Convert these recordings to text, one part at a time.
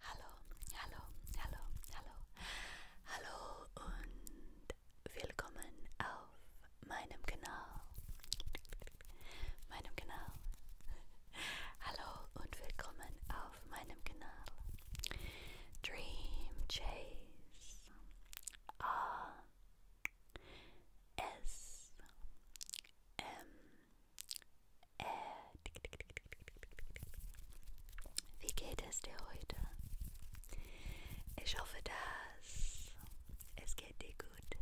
Hallo, hallo, hallo, hallo, hallo und willkommen auf meinem Kanal. Meinem Kanal. Hallo und willkommen auf meinem Kanal. Dream Chase. A S M äh, wie geht es dir heute? Ich hoffe, dass es geht dir gut.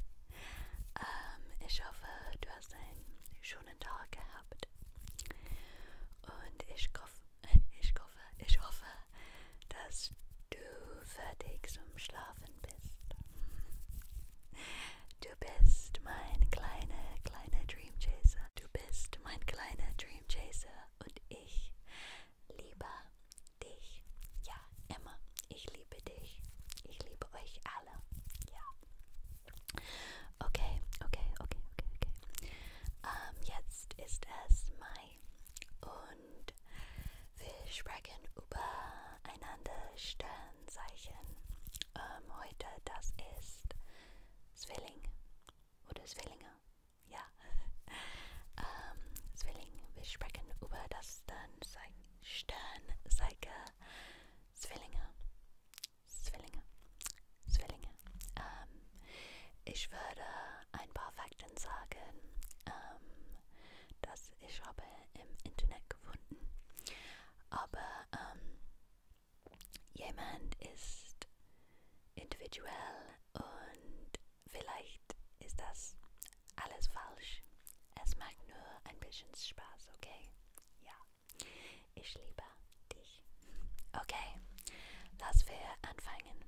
Ähm, ich hoffe, du hast einen schönen Tag gehabt. Und ich hoffe, ich hoffe, ich hoffe, dass du fertig zum Schlafen bist. Du bist mein kleiner, kleiner Dream Chaser. Du bist mein kleiner Dream Chaser und ich liebe dich. Ja, immer. Ich liebe dich. Ich liebe euch alle. Ja. Okay, okay, okay, okay, okay. Ähm, jetzt ist es Mai und wir sprechen über einander Stern. Sternzeichen ähm, heute, das ist Zwilling oder Zwillinge, ja. ähm, Zwilling, wir sprechen über das Sternzeichen Zwillinge. Zwillinge, Zwillinge. Ähm, ich würde ein paar Fakten sagen, ähm, dass ich habe im Internet gefunden aber ähm, jemand ist individuell und vielleicht ist das alles falsch. Es macht nur ein bisschen Spaß, okay? Ja, ich liebe dich. Okay, lass wir anfangen.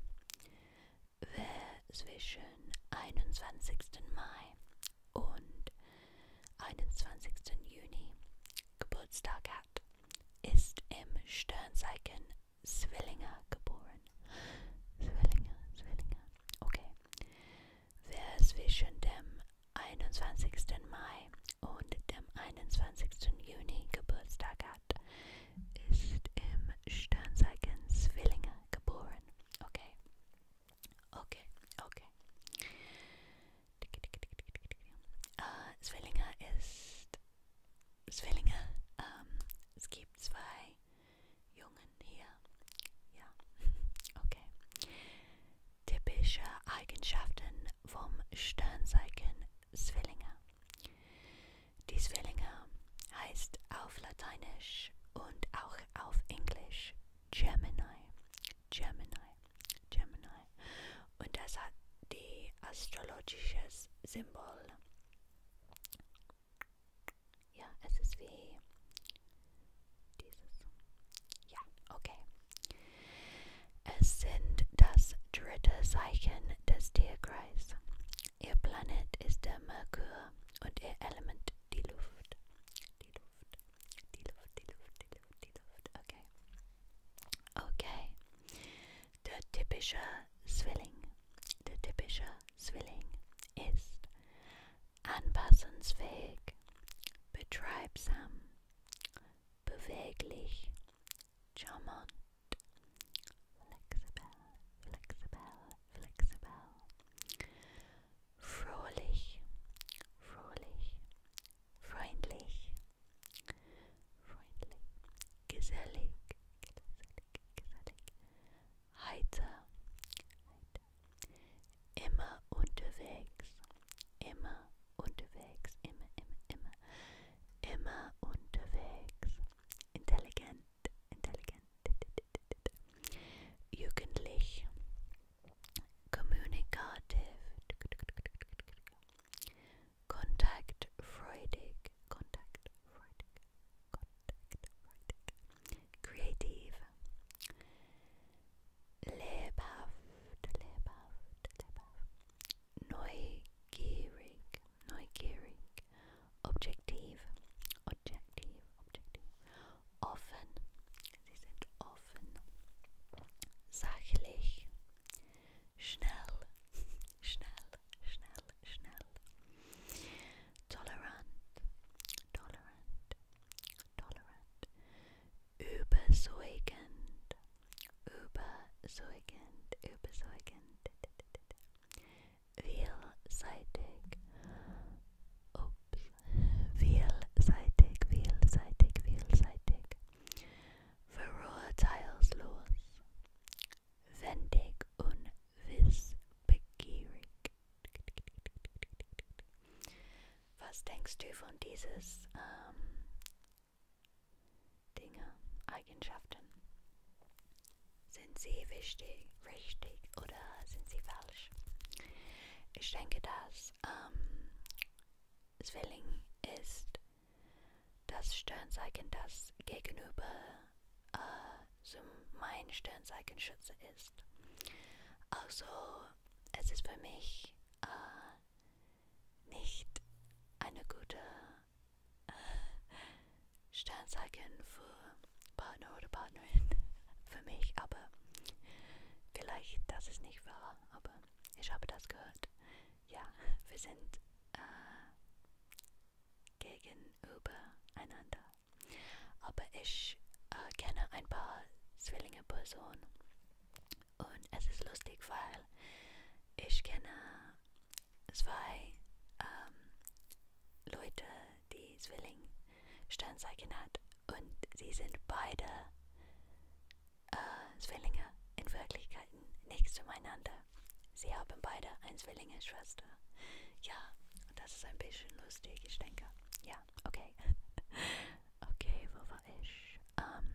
Wer zwischen 21. Mai und 21. Juni Geburtstag hat, ist im Sternzeichen Zwillinge geboren. Zwillinge, Zwillinge. Okay. Wer zwischen dem 21. Mai und dem 21. Juni Geburtstag hat, ist im Sternzeichen Zwillinge geboren. Okay. Okay, okay. Uh, Zwillinge ist. Zwillinge. Um, ähm, es gibt zwei Jungen hier. Ja, okay. Typische Eigenschaften vom Sternzeichen Zwillinge. Die Zwillinge heißt auf Lateinisch und auch auf Englisch Gemini, Gemini, Gemini. Und das hat die astrologisches Symbol. Ja, es ist wie dieses. Ja, okay. Es sind das dritte Zeichen des Tierkreis. Ihr Planet ist der Merkur und ihr Element die Luft. Die Luft. Die Luft, die Luft, die Luft, die Luft. Okay. Okay. Der typische Zwilling. Der typische Zwilling ist anpassungsfähig, betreibsam, beweglich, charmant, flexibel, flexibel, flexibel, fröhlich, fröhlich, freundlich, freundlich, gesellig, gesellig, gesellig, heiter, heiter, immer unterwegs, immer unterwegs, immer, immer, immer, immer unterwegs, intelligent, intelligent, jugendlich, communicative, contact Freudic, contact Freudic, contact Freudic, creative, lebhaft, lebhaft, lebhaft, neugierig, objective, objective, Objektiv. Offen. Sie sind offen. Sachlich. Schnell. Schnell. Schnell. Schnell. Tolerant. Tolerant. Tolerant. Überzeugend. Überzeugend. Überzeugend. Vielseitig. Ups vielseitig, vielseitig, vielseitig, verurteilslos, wendig und wissbegierig. Was denkst du von dieses ähm, Dinge, Eigenschaften? Sind sie wichtig? richtig oder sind sie falsch? Ich denke, dass ähm, Zwilling ist das Sternzeichen, das gegenüber äh, zum mein Sternzeichen Schütze ist. Also, es ist für mich äh, nicht eine gute äh, Sternzeichen für Partner oder Partnerin für mich, aber vielleicht das ist nicht wahr, aber ich habe das gehört. Ja, wir sind äh, gegenüber einander. Aber ich äh, kenne ein paar Zwillinge Personen und es ist lustig, weil ich kenne zwei ähm, Leute, die Zwilling Sternzeichen hat und sie sind beide äh, Zwillinge in Wirklichkeit nichts zueinander. Sie haben beide eine Zwillinge-Schwester. Ja, und das ist ein bisschen lustig, ich denke. Ja, okay. okay, wo war ich? Ähm,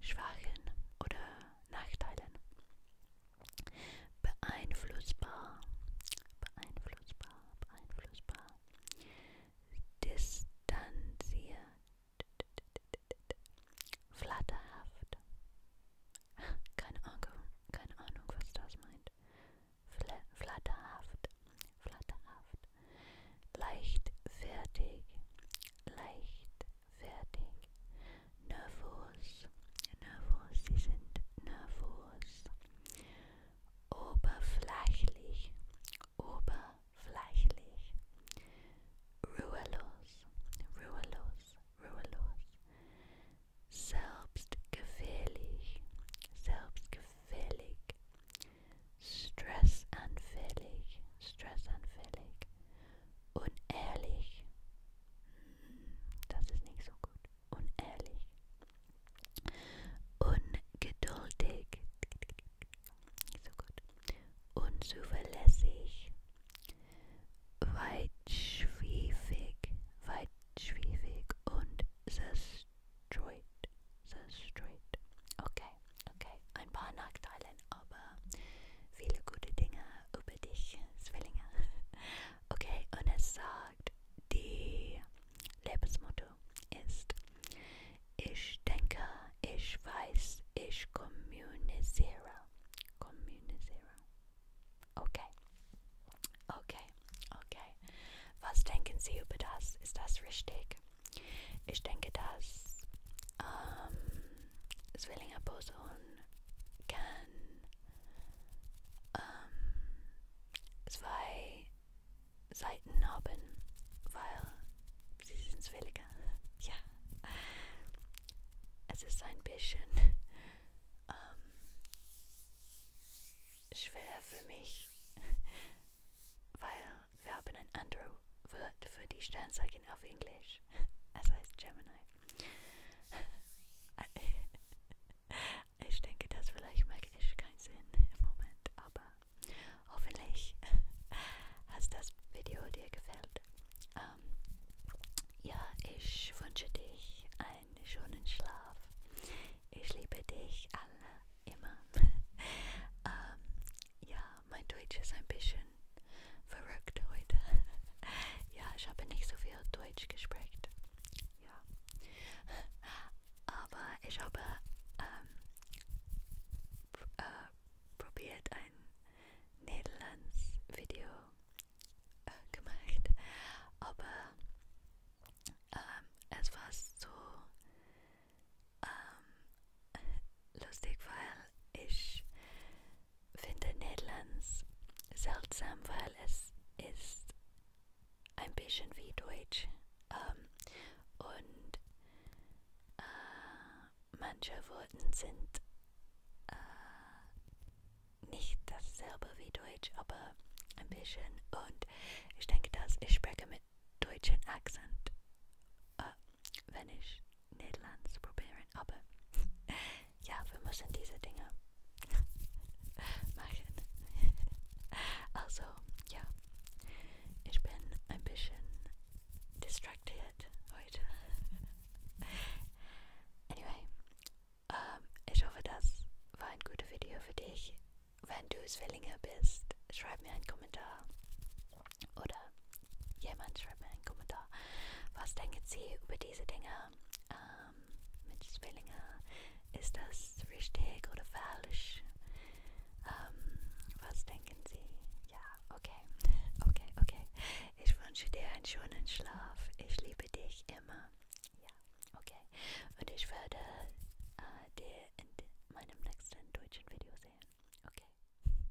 Schwachen oder Nachteilen. Beeinflussbar. Beeinflussbar beeinflussbar, distanziert, flatterhaft. Keine Ahnung, keine Ahnung, was das meint. Fla flatterhaft, flatterhaft, leichtfertig, leichtfertig, nervös, nervös, sie sind nervös, oberflächlich, oberflächlich, ruhelos, ruhelos, ruhelos, selbstgefällig, selbstgefällig, stressanfällig, stressanfällig, unehrlich, hm, das ist nicht so gut, unehrlich. Ungeduldig. So gut. Unzuverlässig. Weitschwiefig. Weitschwiefig und zerstreut. Zerstreut. Okay, okay. Ein paar Nachteile, aber viele gute Dinge über dich, Zwillinge. Okay, und es sagt, und die Lebensmotto ist, ich denke, ich weiß, ich kommuniziere. Kommuniziere. Okay. Okay. Okay. Was denken Sie über das? Ist das richtig? Ich denke, dass ähm, Swillinger Boson kann ähm, zwei Seiten haben, weil sie sind zwillinge. Ja, es ist ein bisschen ähm, schwer für mich, weil wir haben ein anderes Wort für die Sternzeichen auf Englisch. Es heißt Gemini. Ich denke, das vielleicht macht echt keinen Sinn im Moment, aber hoffentlich hat das Video dir gefällt. Ähm, ja, ich wünsche dich einen schönen Schlaf. Ich liebe dich alle immer. ähm, ja, mein Deutsch ist ein bisschen verrückt heute. ja, ich habe nicht so viel Deutsch gesprochen ja. Aber ich habe ähm, pr äh, probiert ein Nederlands-Video äh, gemacht, aber ähm, es war so ähm, lustig, weil ich finde Nederlands seltsam, weil es es ist ein bisschen wie Deutsch. Ähm, und äh, manche Worte sind äh, nicht dasselbe wie Deutsch, aber ein bisschen. Und ich denke, dass ich spreche mit deutschen Akzent, äh, wenn ich Niederlands probieren, aber ja, wir müssen diese Dinge machen. also, ja, ich bin ein bisschen distracted heute. anyway, ähm, ich hoffe, das war ein gutes Video für dich. Wenn du Zwillinge bist, schreib mir einen Kommentar. Oder jemand schreibt mir einen Kommentar. Was denken Sie über diese Dinge? Ähm, ähm, mit Zwillingen. Ist das richtig oder falsch? Ähm, was denken Sie? Ja, okay. Okay, okay. Ich wünsche dir einen schönen Schlaf. Ich liebe dich immer. Ja, okay. Und ich werde äh, dir in meinem nächsten deutschen Video sehen. Okay.